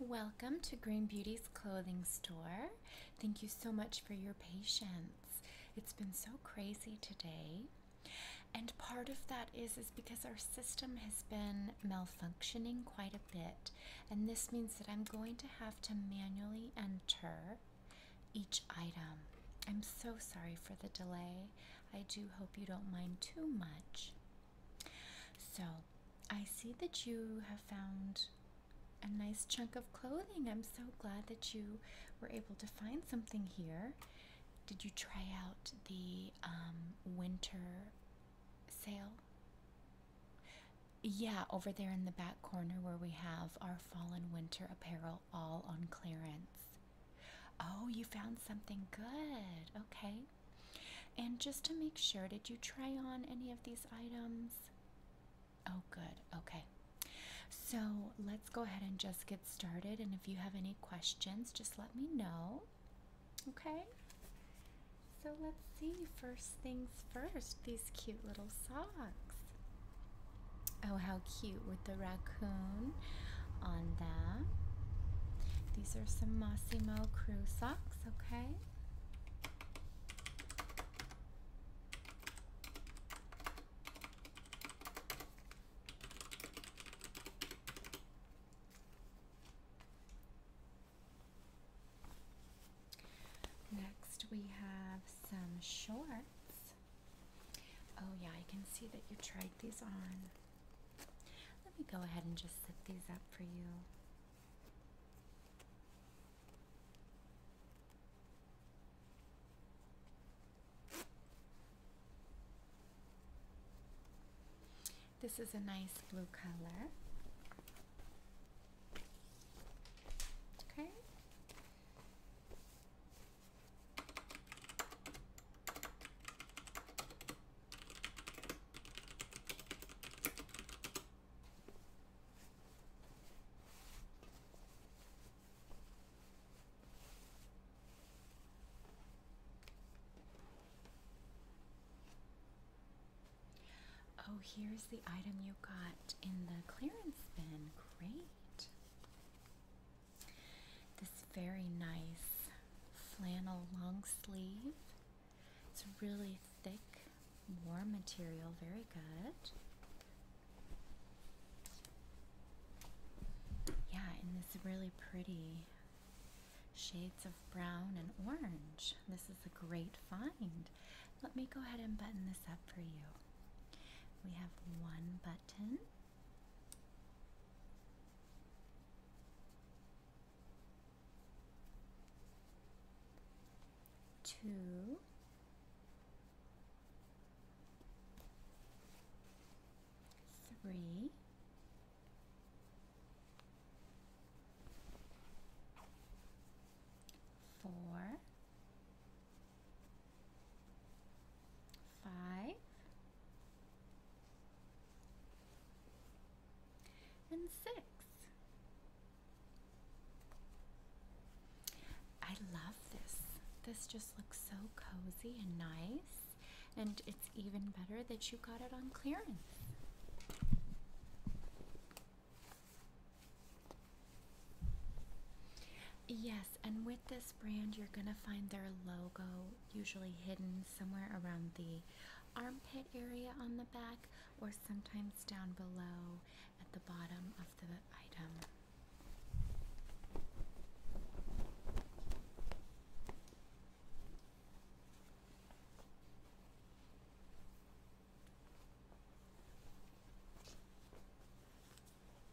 Welcome to Green Beauty's clothing store. Thank you so much for your patience. It's been so crazy today. And part of that is is because our system has been malfunctioning quite a bit. And this means that I'm going to have to manually enter each item. I'm so sorry for the delay. I do hope you don't mind too much. So, I see that you have found a nice chunk of clothing. I'm so glad that you were able to find something here. Did you try out the um, winter sale? Yeah, over there in the back corner where we have our fall and winter apparel all on clearance. Oh, you found something good. Okay. And just to make sure, did you try on any of these items? Oh, good. Okay. So let's go ahead and just get started. And if you have any questions, just let me know. Okay. So let's see. First things first, these cute little socks. Oh, how cute with the raccoon on them. These are some Massimo Crew socks, okay? Next, we have some shorts. Oh, yeah, I can see that you tried these on. Let me go ahead and just set these up for you. This is a nice blue color. Okay. Oh, here's the item you got in the clearance bin. Great. This very nice flannel long sleeve. It's a really thick, warm material, very good. Yeah, and this really pretty shades of brown and orange. This is a great find. Let me go ahead and button this up for you. We have one button two, three, four, five, and six. I love this. This just looks so cozy and nice, and it's even better that you got it on clearance. Yes, and with this brand, you're going to find their logo usually hidden somewhere around the armpit area on the back or sometimes down below at the bottom of the item.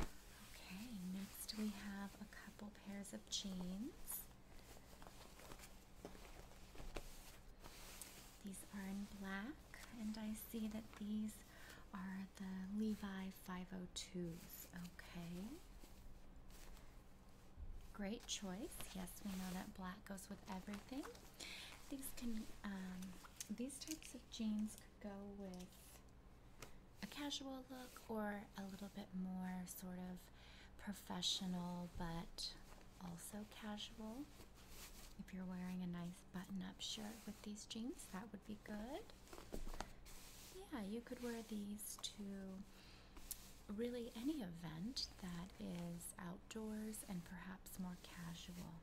Okay, next we have a couple pairs of jeans. These are in black, and I see that these are the Levi 502s. Okay. Great choice. Yes, we know that black goes with everything. These can um, these types of jeans go with a casual look or a little bit more sort of professional but also casual. If you're wearing a nice button up shirt with these jeans, that would be good. Yeah, you could wear these to really any event that is outdoors and perhaps more casual.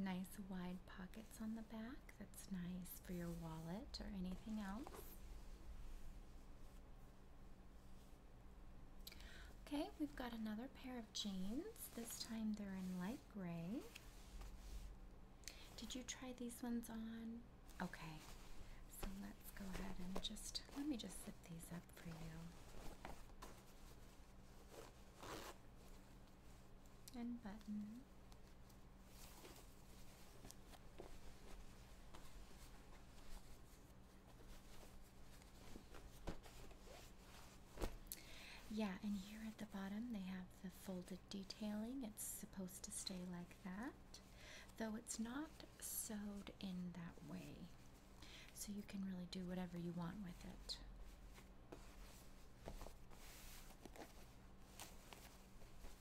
Nice wide pockets on the back. That's nice for your wallet or anything else. Okay, we've got another pair of jeans. This time they're in light gray. Did you try these ones on? Okay, so let's go ahead and just let me just zip these up for you. And button. Yeah, and here at the bottom they have the folded detailing. It's supposed to stay like that, though it's not sewed in that way. So you can really do whatever you want with it.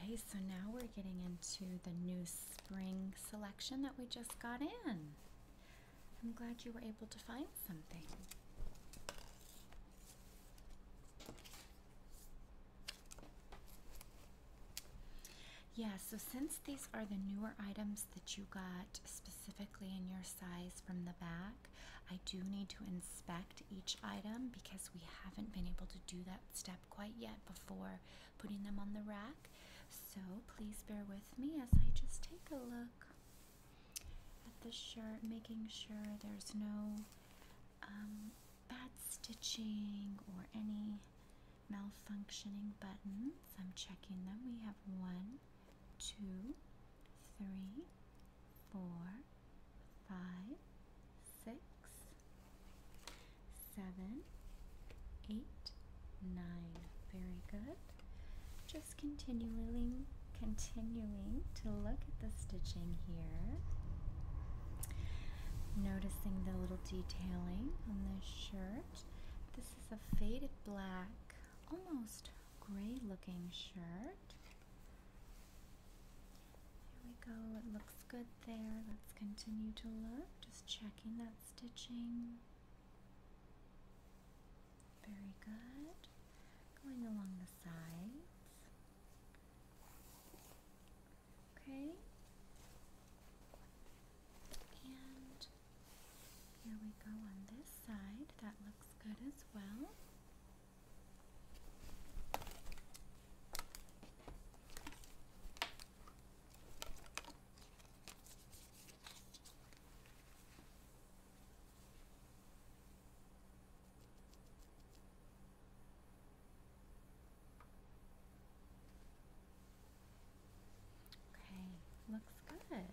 Okay, so now we're getting into the new spring selection that we just got in. I'm glad you were able to find something. Yeah, so since these are the newer items that you got specifically in your size from the back. I do need to inspect each item because we haven't been able to do that step quite yet before putting them on the rack. So please bear with me as I just take a look at the shirt, making sure there's no um, bad stitching or any malfunctioning buttons. I'm checking them. We have one, one, two, three, four, five, six, seven, eight, nine. Very good. Just continuing, continuing to look at the stitching here. Noticing the little detailing on this shirt. This is a faded black, almost gray looking shirt. There we go, it looks good there. Let's continue to look, just checking that stitching. Very good. Going along the sides. Okay. And here we go on this side. That looks good as well. Okay, looks good.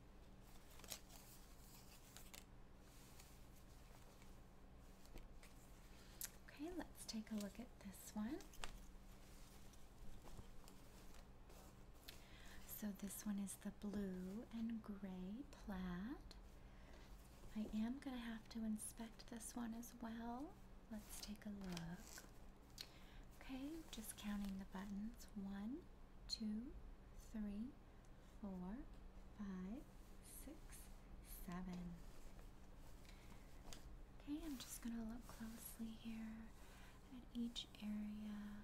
Okay, let's take a look at this one. So this one is the blue and gray plaid. I am going to have to inspect this one as well. Let's take a look. Okay, just counting the buttons. One, two, three, four, five, six, seven. Okay, I'm just going to look closely here at each area.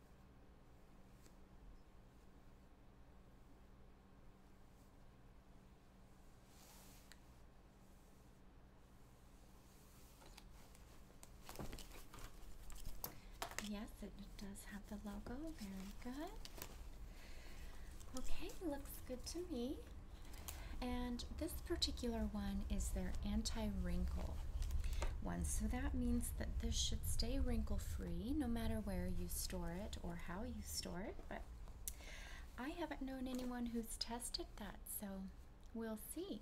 Yes, it does have the logo. Very good. Okay, looks good to me. And this particular one is their anti wrinkle one. So that means that this should stay wrinkle free no matter where you store it or how you store it, but I haven't known anyone who's tested that, so we'll see.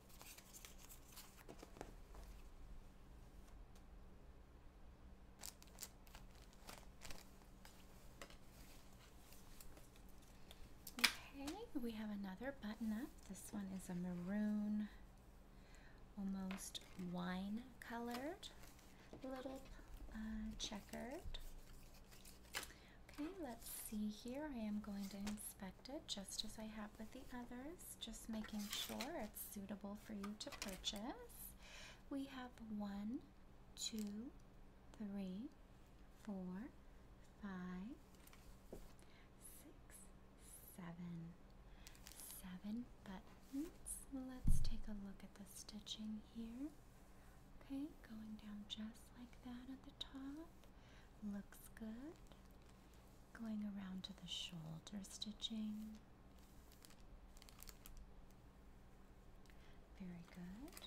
Okay, we have another button up. This one is a maroon, almost wine colored, little uh, checkered. Okay, let's see here. I am going to inspect just as I have with the others, just making sure it's suitable for you to purchase. We have one, two, three, four, five, six, seven, seven buttons. Let's take a look at the stitching here. Okay, going down just like that at the top. Looks good. Going around to the shoulder stitching. Very good.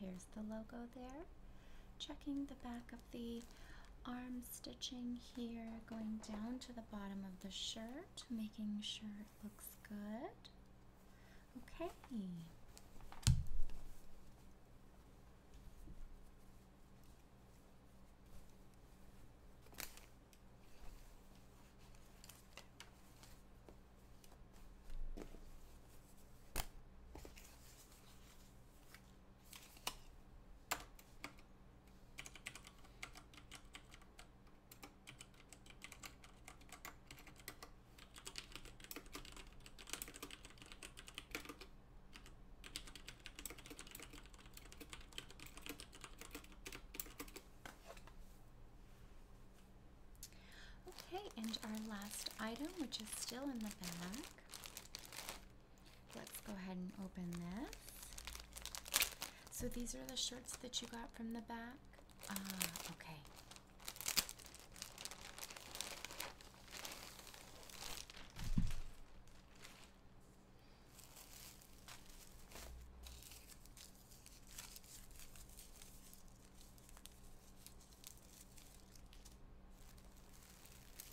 Here's the logo there. Checking the back of the arm stitching here, going down to the bottom of the shirt, making sure it looks good. Okay. Okay, and our last item, which is still in the bag, Let's go ahead and open this. So these are the shirts that you got from the back? Ah, okay.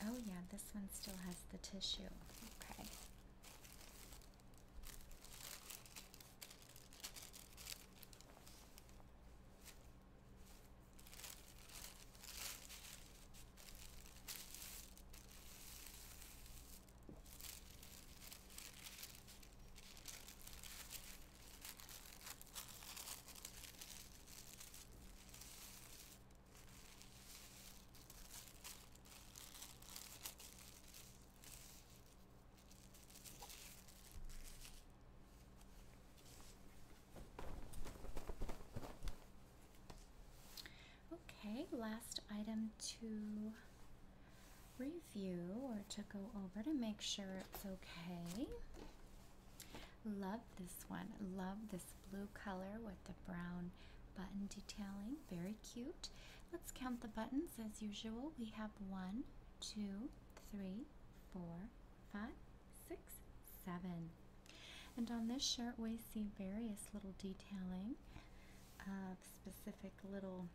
Oh, yeah, this one still has the tissue. Okay. Okay, last item to review or to go over to make sure it's okay Love this one. Love this blue color with the brown button detailing. Very cute. Let's count the buttons as usual. We have one, two, three, four, five, six, seven. And on this shirt, we see various little detailing of specific little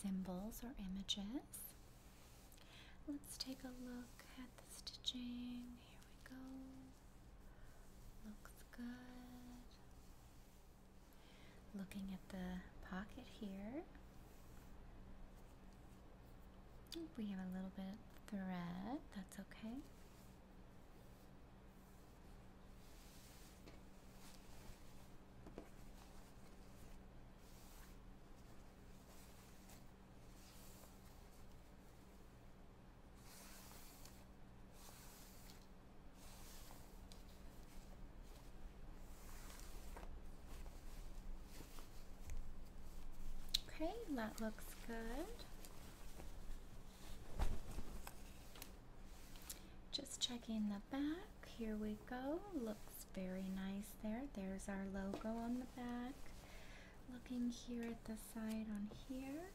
symbols or images. Let's take a look at the stitching. Here we go. Looks good. Looking at the pocket here. We have a little bit of thread, that's okay. Okay, that looks good. Just checking the back. Here we go. Looks very nice there. There's our logo on the back. Looking here at the side on here,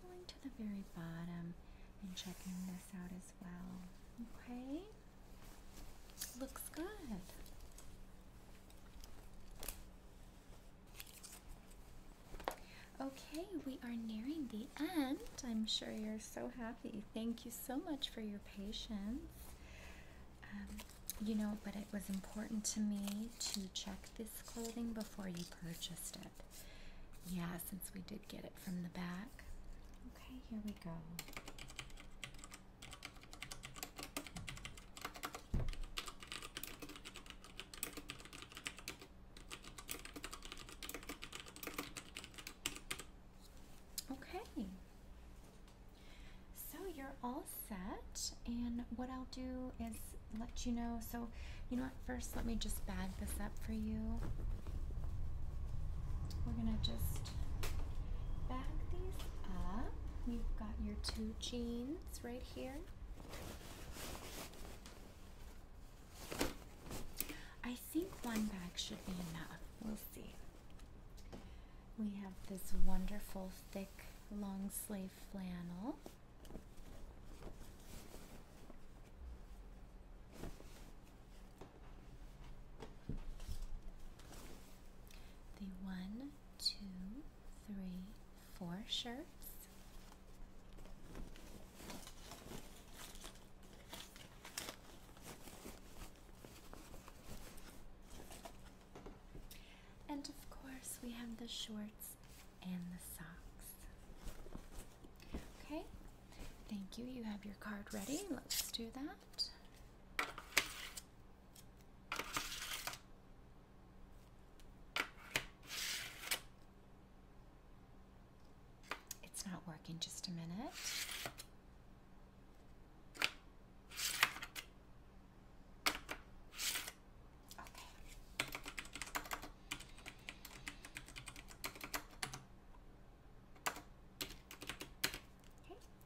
going to the very bottom and checking this out as well. Okay, looks good. Okay, we are nearing the end. I'm sure you're so happy. Thank you so much for your patience. Um, you know, but it was important to me to check this clothing before you purchased it. Yeah, since we did get it from the back. Okay, here we go. Okay. So you're all set, and what I'll do is let you know. So, you know what? First, let me just bag this up for you. We're gonna just bag these up. You've got your two jeans right here. I think one bag should be enough. We'll see. We have this wonderful thick long sleeve flannel. The one, two, three, four shirts. And of course, we have the shorts and the socks. Okay, thank you. You have your card ready. Let's do that. It's not working, just a minute. Okay.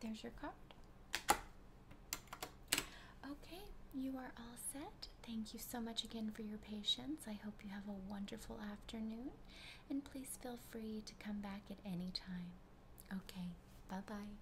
there's your card. Okay, you are all set. Thank you so much again for your patience. I hope you have a wonderful afternoon and please feel free to come back at any time. Okay, bye bye.